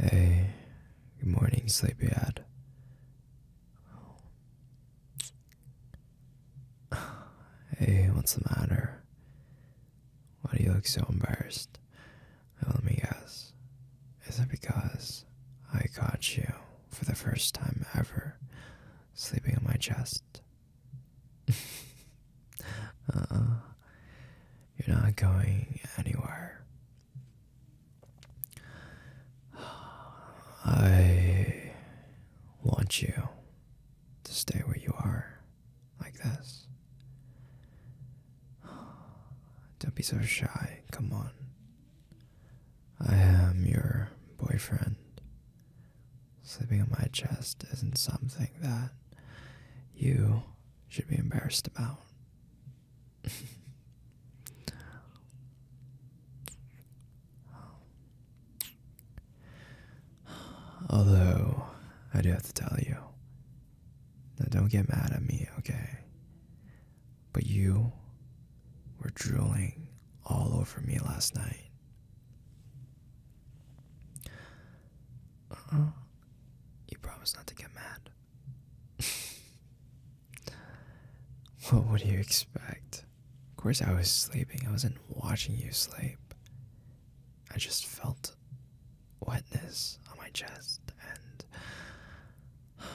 Hey, good morning, sleepyhead. Hey, what's the matter? Why do you look so embarrassed? let me guess. Is it because I caught you for the first time ever sleeping on my chest? Uh-uh. You're not going anywhere. I want you to stay where you are, like this. Don't be so shy, come on. I am your boyfriend. Sleeping on my chest isn't something that you should be embarrassed about. Although, I do have to tell you. Now, don't get mad at me, okay? But you were drooling all over me last night. Uh-uh. You promised not to get mad. what would you expect? Of course, I was sleeping. I wasn't watching you sleep. I just felt wetness on my chest, and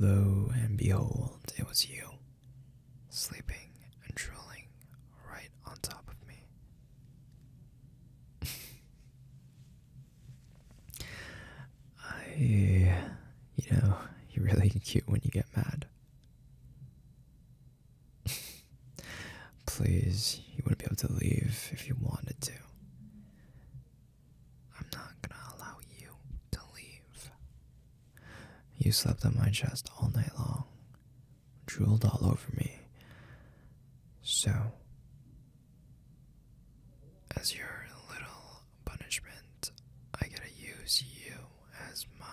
lo and behold, it was you, sleeping and drooling right on top of me I, you know, you're really cute when you get mad. Please, you wouldn't be able to leave if you wanted to. I'm not gonna allow you to leave. You slept on my chest all night long drooled all over me. So, as your little punishment, I gotta use you as my,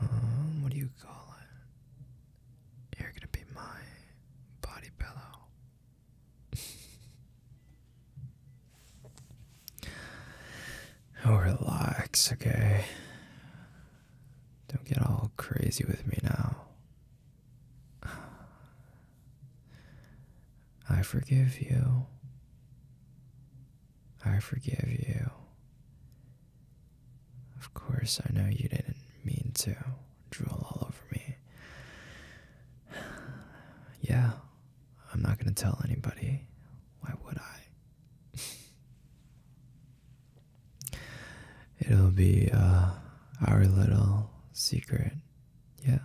um, um, what do you call it? You're gonna be my body pillow. oh, relax, okay? Don't get all crazy with me now. I forgive you. I forgive you. Of course, I know you didn't mean to drool all over me. Yeah, I'm not gonna tell anybody. Why would I? It'll be uh, our little secret, yeah.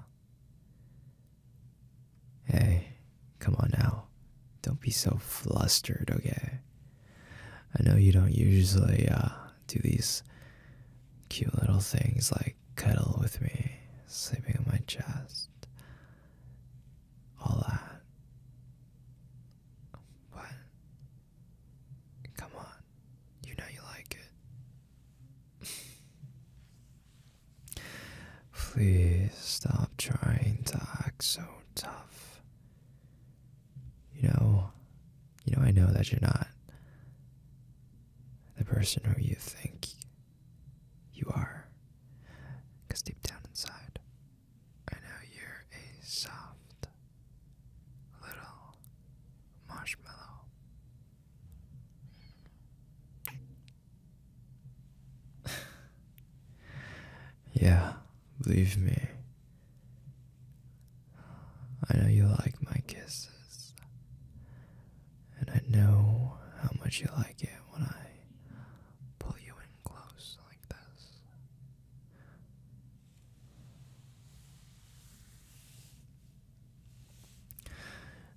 Hey, come on now. Don't be so flustered, okay? I know you don't usually uh, do these cute little things like cuddle with me, sleeping on my chest, all that. What? Come on. You know you like it. Please stop trying to act so tough. You know, you know I know that you're not the person who you think you are. Because deep down inside, I know you're a soft little marshmallow. yeah, believe me. I know you like my kisses. And I know how much you like it when I pull you in close like this.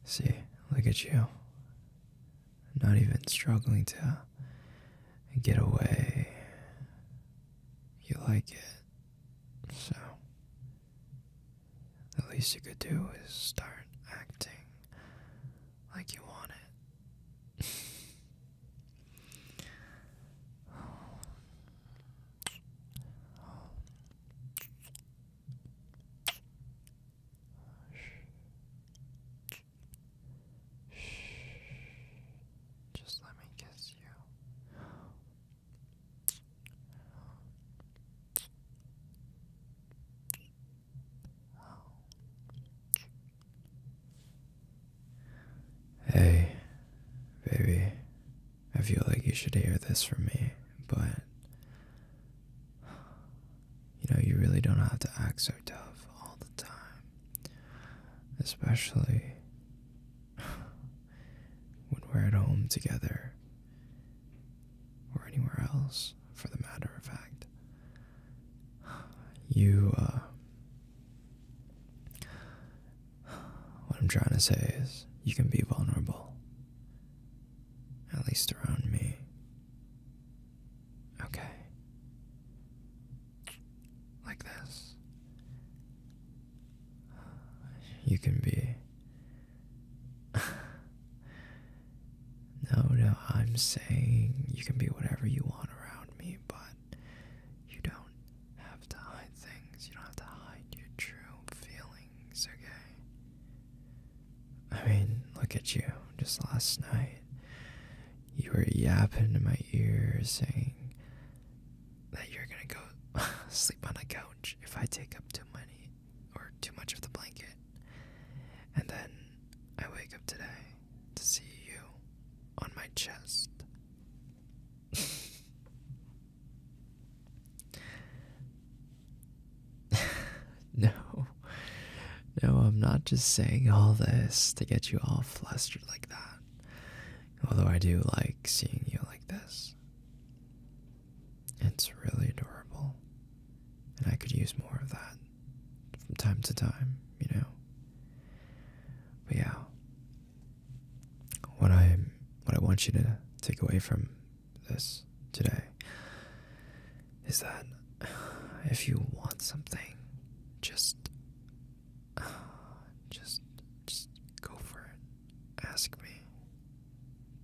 See, look at you. Not even struggling to get away. You like it. So, the least you could do is start acting like you want it. Just let me kiss you. Hey, baby, I feel like you should hear this from me, but you know, you really don't have to act so tough all the time, especially when we're at home together or anywhere else for the matter of fact you uh, what I'm trying to say is you can be vulnerable at least around me. Okay. Like this. You can be. no, no, I'm saying you can be whatever you want around me, but you don't have to hide things. You don't have to hide your true feelings, okay? I mean, look at you. Just last night, you were yapping in my ear saying that you're gonna go sleep on a couch if I take up too many or too much of the blanket. And then I wake up today to see you on my chest. no, no, I'm not just saying all this to get you all flustered like that. Although I do like seeing you like this, it's really adorable, and I could use more of that from time to time, you know. But yeah, what I what I want you to take away from this today is that if you want something, just just just go for it. Ask me.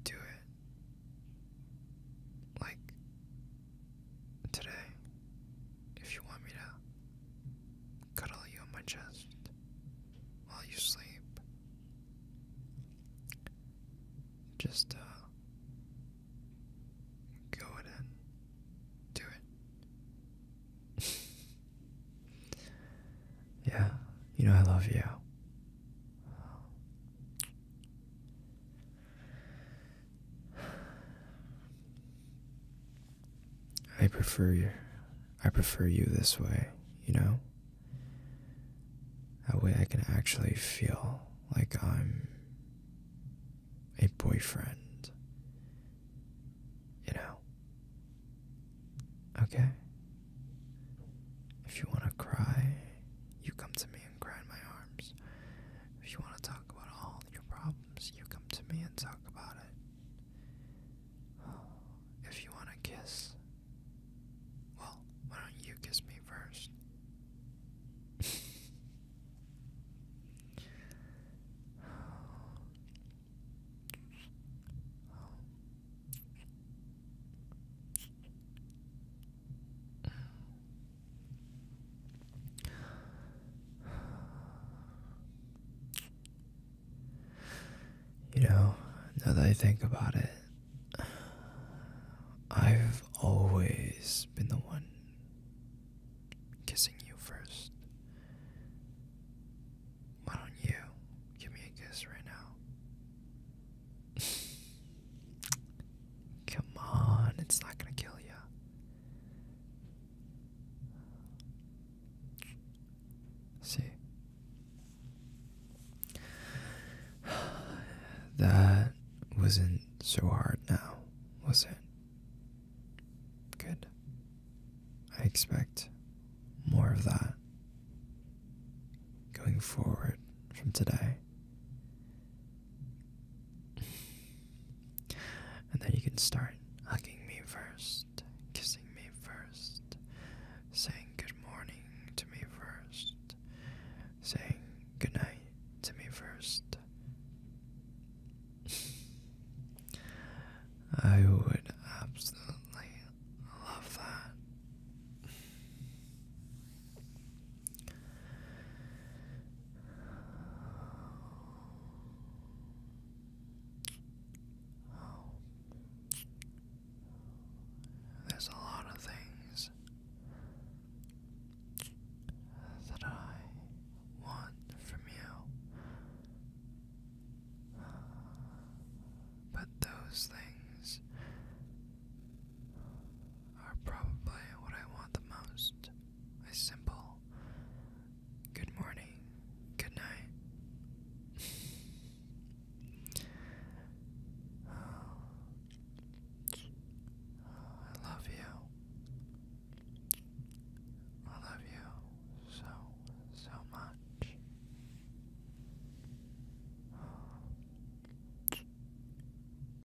Do it. Like today if you want me to cuddle you on my chest while you sleep. Just uh, go ahead and do it. yeah, you know I love you. I prefer you. I prefer you this way, you know? That way I can actually feel like I'm a boyfriend, you know? Okay? If you want to cry, you come to me and cry in my arms. If you want to talk about all your problems, you come to me and talk about it. if you want to kiss, well, why don't you kiss me first? You know, now that I think about it, I've always been the one kissing you first. Why don't you give me a kiss right now? Come on, it's not gonna kill you. See. That wasn't so hard now, was it? Good. I expect more of that going forward from today. And then you can start hugging me first, kissing me first, saying good morning to me first, saying goodnight to me first. I would absolutely love that. There's a lot of things that I want from you, but those things are probably what I want the most a simple good morning, good night. I love you. I love you so, so much.